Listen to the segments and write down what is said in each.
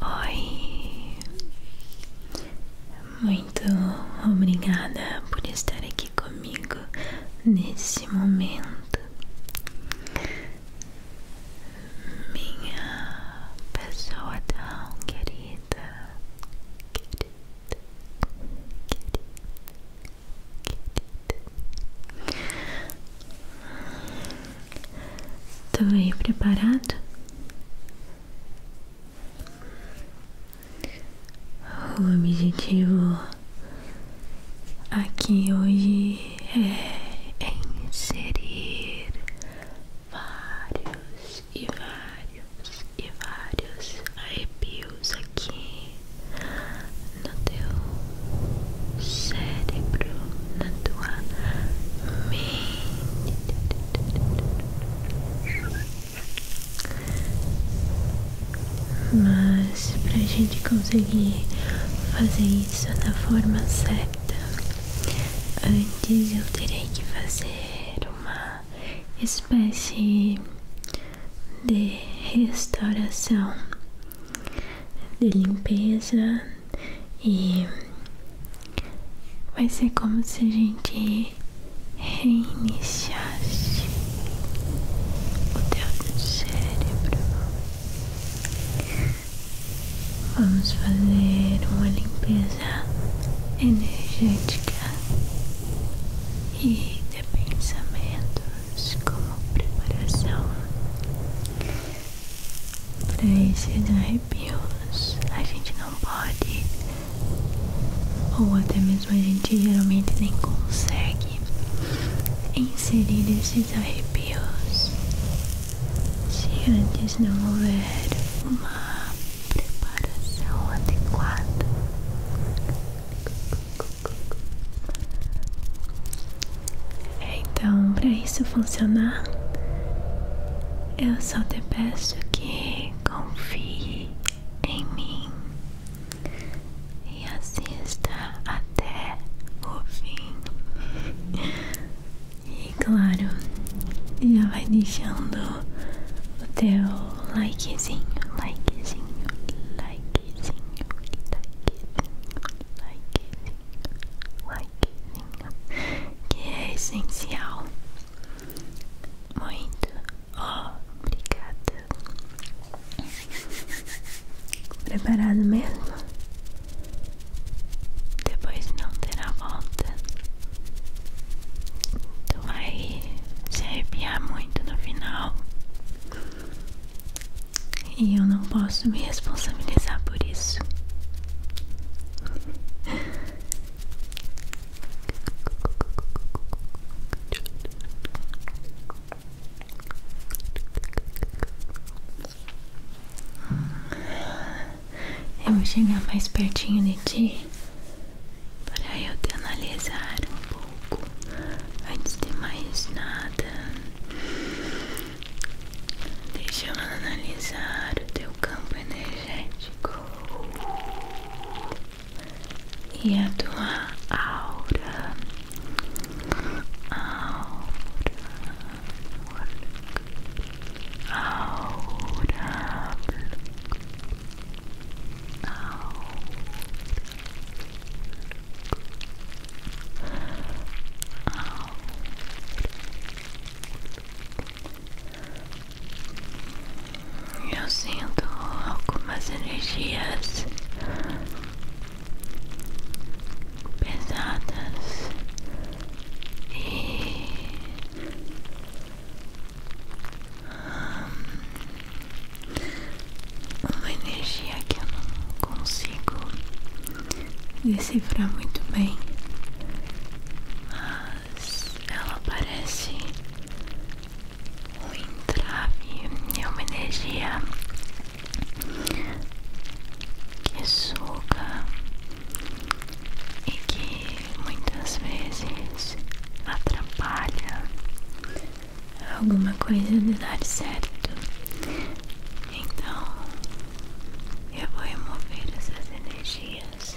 Oi, muito obrigada por estar aqui comigo nesse momento. Minha pessoa tão querida, querida, querida, querida. Tô aí preparado? O objetivo aqui hoje é inserir vários e vários e vários arrepios aqui no teu cérebro, na tua mente. Mas pra gente conseguir fazer isso da forma certa, antes eu terei que fazer uma espécie de restauração de limpeza e vai ser como se a gente reiniciasse o teu cérebro. Vamos fazer uma limpeza energética e de pensamentos como preparação para esses arrepios, a gente não pode, ou até mesmo a gente geralmente nem consegue inserir esses arrepios se antes não houver uma preparação adequada. É, então, para isso funcionar, eu só te peço que confie em mim e assista até o fim. E claro, já vai deixando o teu likezinho, likezinho, likezinho, likezinho, likezinho likezinho que é essencial. Muito obrigada. Preparado mesmo? Depois não terá volta. Tu então vai se arrepiar muito no final. E eu não posso me responsabilizar por isso. Eu vou chegar mais pertinho de ti para eu te analisar um pouco antes de mais nada. Deixa eu analisar o teu campo energético e a tua aura. Aura. Aura. Aura. Aura. Eu sinto algumas energias pesadas e hum, uma energia que eu não consigo decifrar muito bem, mas ela parece um entrave, é uma energia que suga e que muitas vezes atrapalha alguma coisa de dar certo. Então eu vou remover essas energias.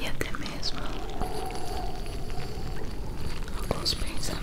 e até mesmo alguns pensamentos.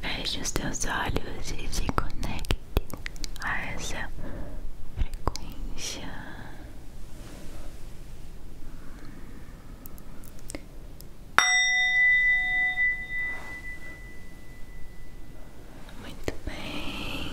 Veja os teus olhos e se conecte a essa frequência. Muito bem.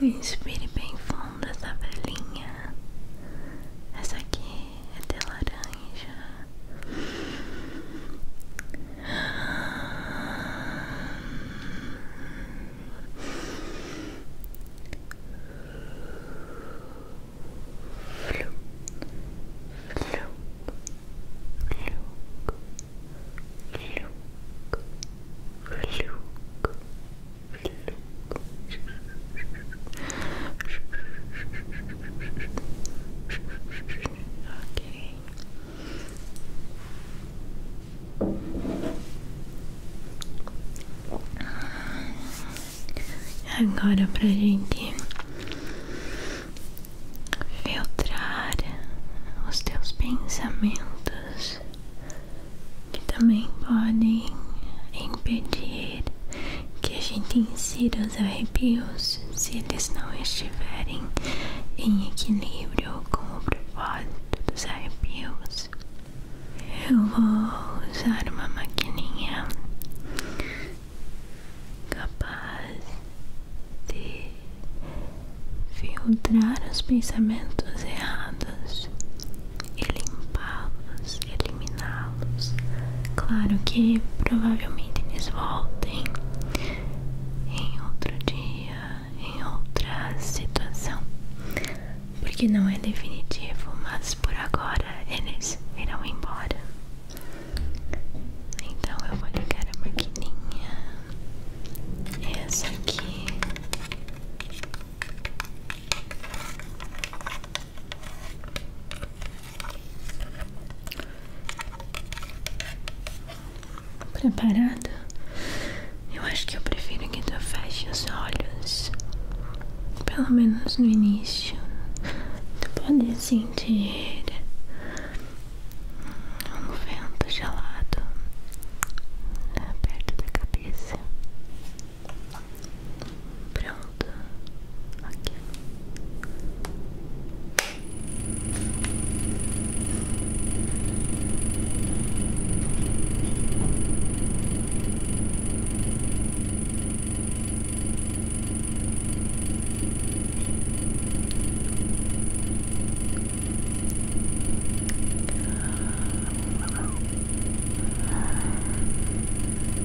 Inspire bem fundo da velhinha. Essa aqui até laranja. Flu, flu, flu, flu, flu, flu. Ok. Agora para gente filtrar os teus pensamentos que também podem impedir que a gente insira os arrepios se eles não estiverem em equilíbrio com o propósito dos arrepios. Eu vou usar uma maquininha capaz de filtrar os pensamentos errados e limpá-los eliminá-los. Claro que provavelmente eles voltem em outro dia, em outra situação, porque não é definitivo, mas por agora eles irão embora. Então eu vou ligar a maquininha. Essa aqui. Preparada? Eu acho que eu prefiro que tu feche os olhos, pelo menos no início. Tu pode sentir um vento gelado né, perto da cabeça. Pronto, ok. Pronto,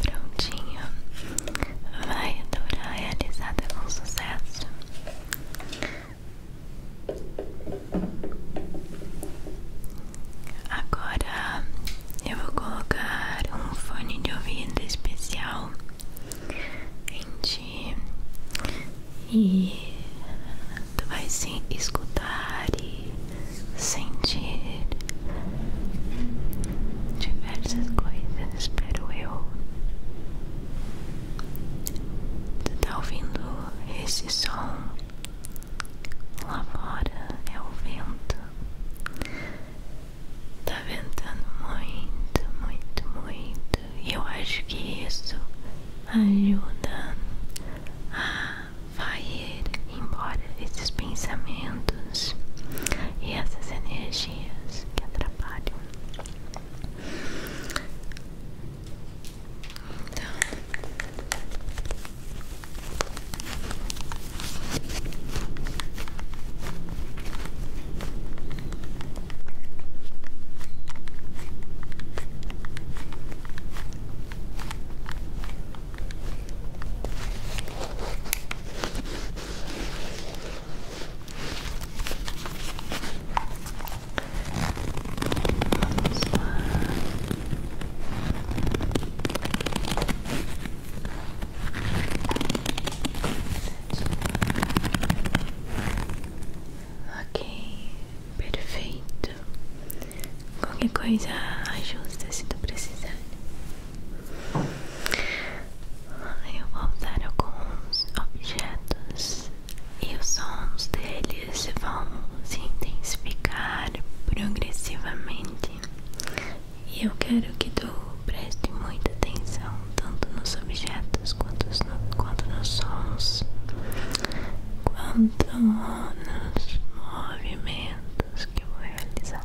Prontinho, vai adorar, realizada tá com sucesso. Agora eu vou colocar um fone de ouvido especial em ti e tu vai se escutar e sentir diversas coisas, espero eu. Você tá ouvindo esse som? Lá fora é o vento. Tá ventando muito, muito, muito. E eu acho que isso ajuda a vai ir embora esses pensamentos e essas energias que atrapalham. Então, Vamos lá. Ok, perfeito. Qualquer coisa ajusta se tu precisar. Eu vou usar alguns objetos e os sons deles vão se intensificar progressivamente. E eu quero que tu preste muita atenção tanto nos objetos quanto nos sons, quanto nos movimentos que eu vou realizar.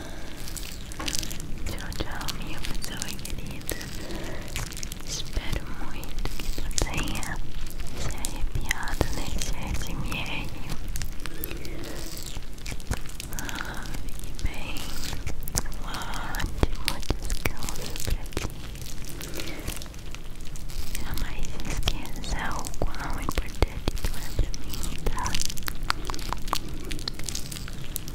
Tchau, tchau, minha pessoa querida. Espero muito que tu tenha se arrepiado nesse SMR. Ah, bem. Um ótimo descanso pra ti. Jamais esqueça o quão é pra